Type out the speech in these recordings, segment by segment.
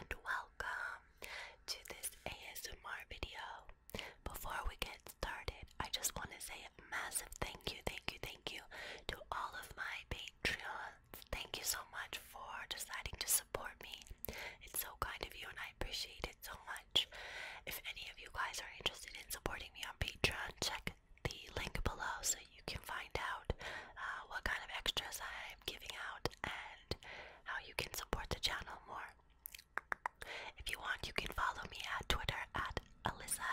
and welcome to this ASMR video. Before we get started, I just want to say a massive thank you, thank you, thank you to all of my patrons. Thank you so much for deciding to support me. It's so kind of you and I appreciate it so much. If any of you guys are interested in supporting me on Patreon, check the link below so you can find out uh, what kind of extras I'm giving out and how you can support the channel more. If you want, you can follow me at Twitter at Alyssa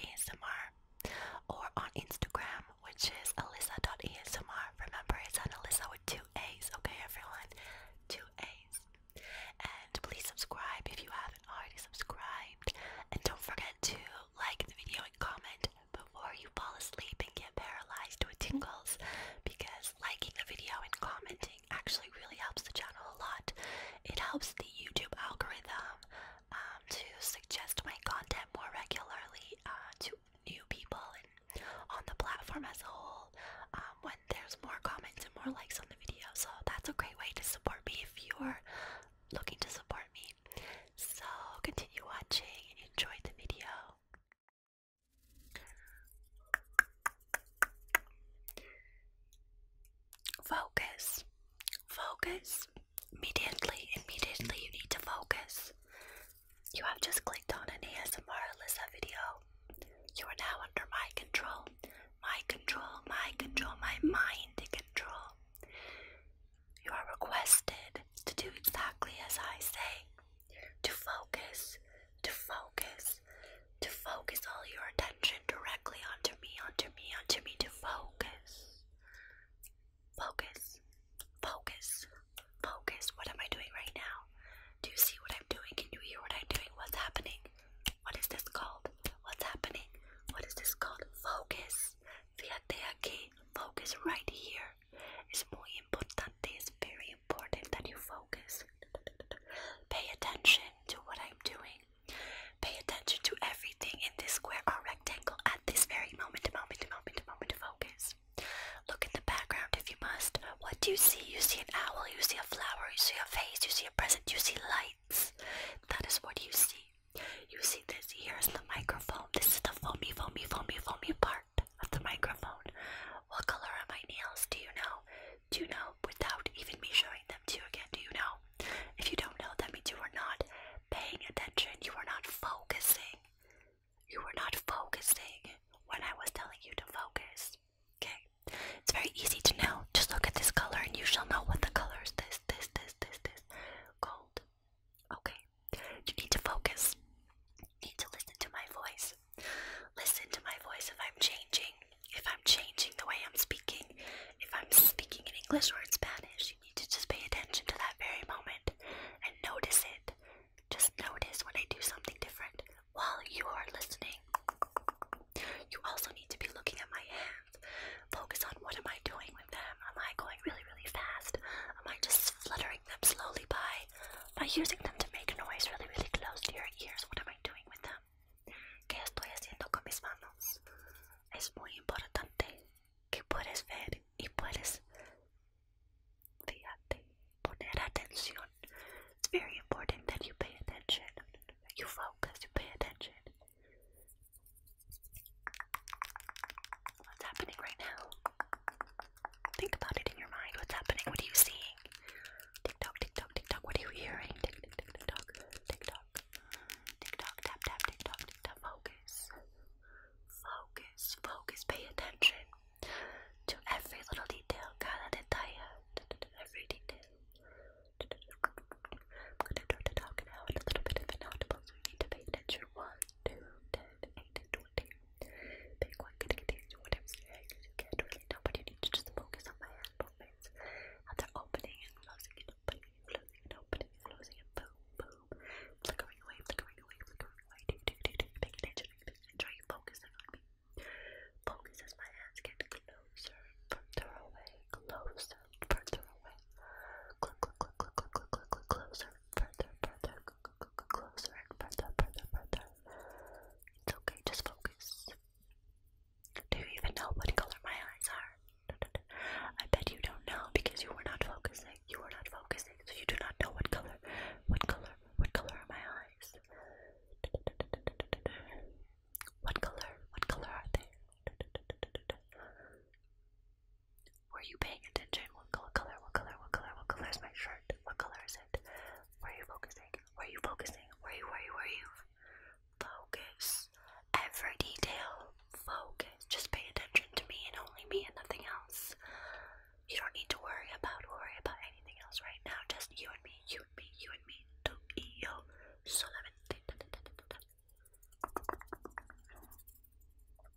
ASMR or on Instagram, which is Alyssa.ASMR. Remember, it's an Alyssa with two A's, okay, everyone? Two A's. And please subscribe if you haven't already subscribed. And don't forget to like the video and comment before you fall asleep and get paralyzed with tingles because liking a video and commenting actually really helps the channel a lot. It helps the YouTube algorithm um, to suggest my content more regularly uh, to new people and on the platform as a whole um, when there's more comments and more likes on the video. So that's a great way to support me if you're looking to support me. So continue watching and enjoy the video. Focus. Focus. Immediately, immediately you need to focus. You have just clicked on an ASMR Alyssa video. You are now under my control. My control, my control, my mind control. You are requested to do exactly as I say to focus, to focus, to focus all your attention directly onto me, onto me, onto me, to focus. Focus, focus, focus. What am I doing right now? Do you see what I'm doing? Can you hear what I'm doing? What's happening? What is this called? What's happening? What is this called? Focus. Fíjate aquí. Focus right here es muy importante, it's very important that you focus. Pay attention to what I'm doing. Pay attention to everything in this square or rectangle at this very moment, moment, moment, moment, focus. Look in the background if you must. What do you see? You see an owl, you see a flower, you see a face, you see a present, you see lights. That is what you see. You see this here is the microphone. This is the foamy, foamy, foamy, foamy part of the microphone. What color are my nails? Do you know? Do you know without even me showing them to you again? Do you know? If you don't know, that means you are not paying attention. You are not focusing. You were not focusing when I was telling you to focus. Okay? It's very easy to know. Just look at this color and you shall know what the color is. This, this, this, this, this. Gold, Okay, you need to focus. You need to listen to my voice. Listen to my voice if I'm changing. If I'm changing the way I'm speaking, if I'm speaking in English or in Spanish, you need to just pay attention to that very moment and notice it. Just notice when I do something different while you are listening. You also need to be looking at my hands. Focus on what am I doing with them? Am I going really, really fast? Am I just fluttering them slowly by by using them to make noise really, really close to your ears. What am I doing with them? ¿Qué estoy haciendo con mis manos? It's very important that you pay attention. You focus, you pay attention. What's happening right now? Think about it in your mind. What's happening? What are you seeing? Tick tock, tick tock, tick tock. What are you hearing? Tick tick tick tick tock, tick tock, tick tock, tap tap, tick tock, tick tock. Focus, focus, focus. Pay attention to every little detail. Cada detalle, every detail. I'm gonna do the talk now in a little bit of an audible, so you need to pay attention. One, 2, 10, 8, and 20. Bitcoin can whatever strings you can't really to just focus on my hand movements. they're opening and closing opening closing opening closing and boom, boom. Flickering away, flickering away, flickering away. Do, do, do, do. Pay attention, pay attention. Try on me. Focus as my hands get closer, further away, closer, further away. Click, click, click, click, click, click, click, click, closer, further, further, closer, closer and further, further, further. It's okay, just focus. Do you even know what color my eyes are? I bet you don't know because you were not focusing. You were not focusing, so you do not know what color, what color, what color are my eyes? What color, what color are they? Were you paying attention? What color? What color? What color? What color is my shirt? What color is it? Were you focusing? Where are you focusing? Where are you? Where are you? Focus. Every detail. Focus. Just pay attention to me and only me and nothing else. You don't need to worry about worry about anything else right now. Just you and me. You and me. You and me. Tu y yo. Solamente.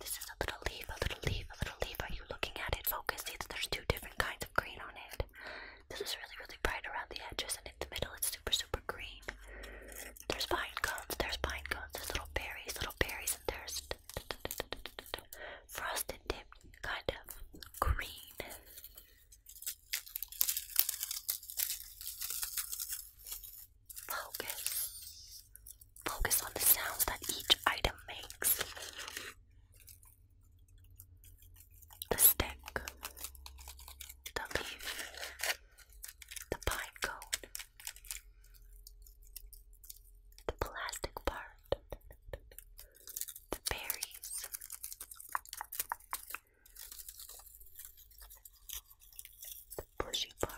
This is a little leaf, a little leaf, a little leaf. Are you looking at it? Focus. See, there's two different kinds of green on it. This is really, really bright around the edges, and in the middle, it's super, super green. There's pine cones, there's pine cones, there's little berries, little berries, and there's frosted dip kind of green. Focus. Focus on the sounds that each item makes. The stick, the leaf, the pine cone, the plastic part, the berries. The bushy part,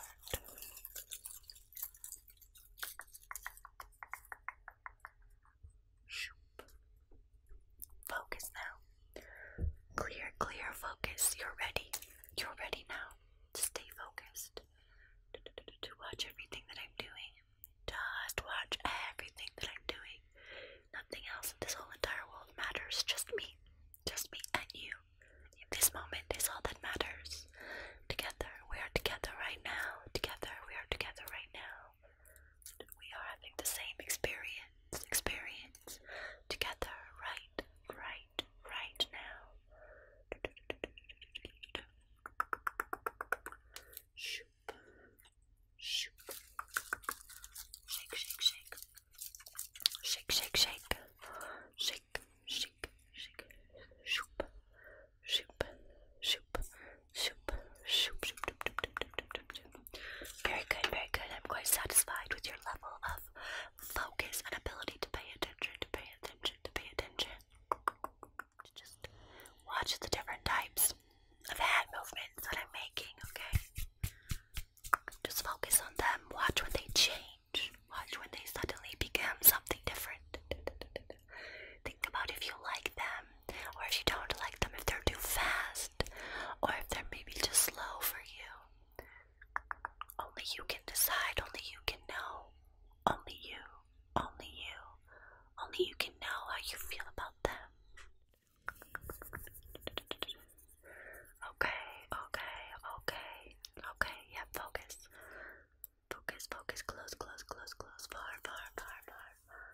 Focus now. Clear, clear, focus. You're ready. You're ready now stay focused. To watch everything that I'm doing. Just watch everything that I'm doing. Nothing else in this whole entire world matters. Just me. Just me and you this moment is all that matters. Together, we are together right now. Together, we are together right now. We are having the same experience, experience. Together, right, right, right now. Shake, shake, shake. Shake, shake, shake. Shake, very good, very good. I'm quite satisfied with your level of focus and ability to pay attention, to pay attention, to pay attention. Just watch the different types of hand movements that I'm making, okay? Just focus on them, watch when they change. Watch when they suddenly become something different. Think about if you like them, or if you don't like them, if they're too fast, or if they're maybe too slow for you. Only you can decide, only you can know. Only you, only you, only you can know how you feel about them. Okay, okay, okay, okay, yeah, focus. Focus, focus, close, close, close, close, far, far, far, far, far.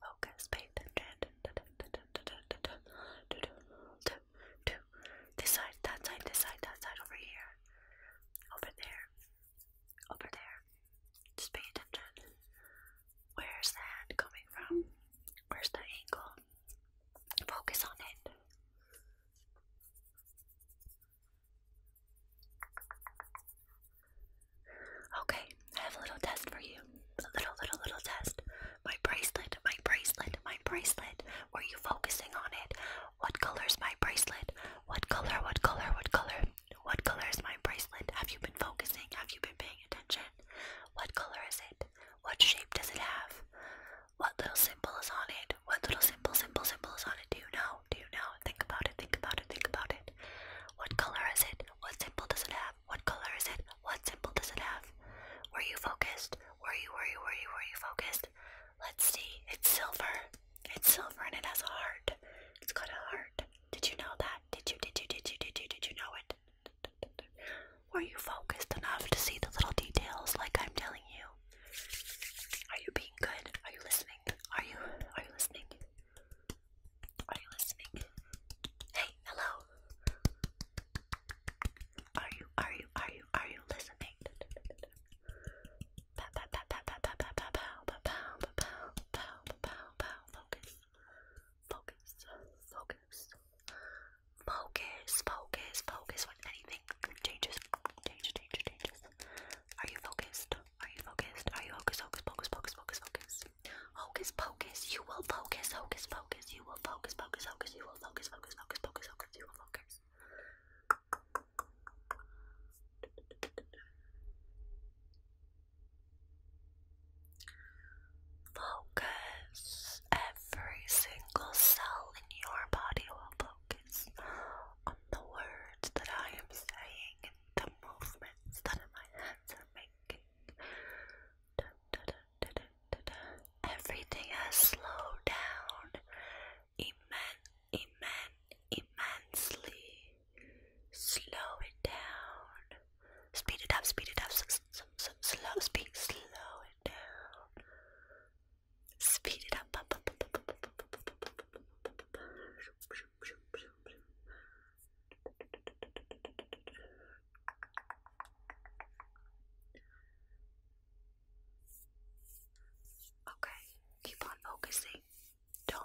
Focus, paint. This side, that side, this side, that side, over here. Over there. Over there. Just pay attention. Where's that coming from? Where's the ankle? Focus on it. Okay, I have a little test for you. A little, little, little test. My bracelet, my bracelet, my bracelet. Were you focusing on it? What color's my bracelet? What color, what color, what color? What color is my bracelet? Have you been focusing? Have you been paying attention? What color is it? What shape does it have? What little symbol is on it? What little symbol, symbol, symbol is on it? Do you know? Do you know? Think about it, think about it, think about it. What color is it? What symbol does it have? What color is it? What symbol does it have? Were you focused? Were you, were you, were you, you focused? Let's see. It's silver. It's silver and it has a heart. It's got a heart. Did you know that? Did you, did you, did you, did you, did you know it? Were you focused enough to see the little details like I'm telling you? Are you being good? Are you listening? Are you are you listening? Are you listening? Hey, hello. Are you are you are you are you listening? Pow pow pow pow pow pow pow pow pow pow pow pow pow Focus, focus, focus, focus, focus when anything changes, changes, changes, changes. Are you focused? Are you focused? Are you focused? Focus, focus, focus, focus, focus. Hocus pocus, you will focus, hocus focus, you will focus, focus, focus, you will focus, focus, focus, focus, focus, you will focus. Focus. Every single cell in your body will focus on the words that I am saying and the movements that my hands are making. Everything has slowed down immensely. Slow it down. Speed it up, speed it up, s s slow, speed, slow it down. Speed it up. Okay, keep on focusing. Don't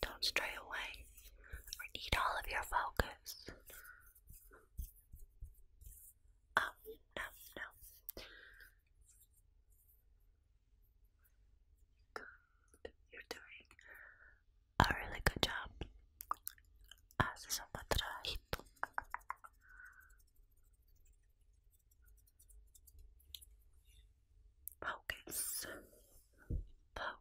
don't stray away or need all of your focus. Oh, no, no. Good. You're doing a really good job. Haces un buen trabajito. Focus. Focus.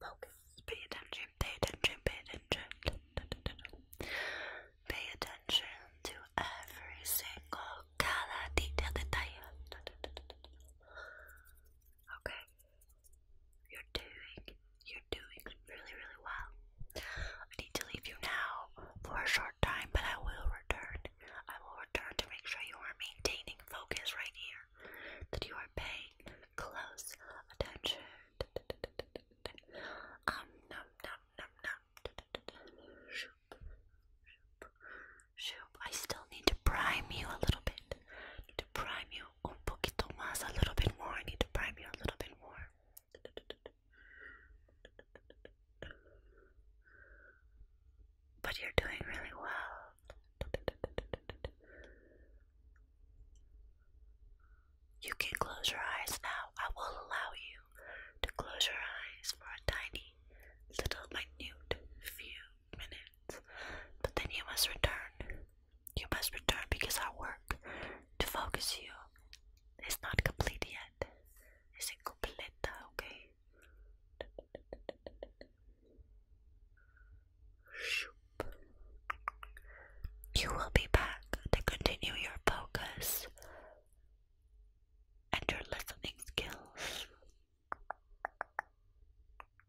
Focus. Pay attention. Pay attention. Pay attention. Pay attention to every single cada detail. Okay. You're doing, you're doing really, really well. I need to leave you now for a short time, but I will return. I will return to make sure you are maintaining focus right here, that you are paying close attention. Um, num, num, num, num. Shoop, shoop, shoop. I still need to prime you a little bit. Need to prime you un a little bit more. I need to prime you a little bit more. But you're doing really well. You can close your eyes now. I will allow you to close your eyes for a tiny, little, minute few minutes, but then you must return you must return because our work to focus you is not complete yet. It's incompleta, okay? You will be back to continue your focus and your listening skills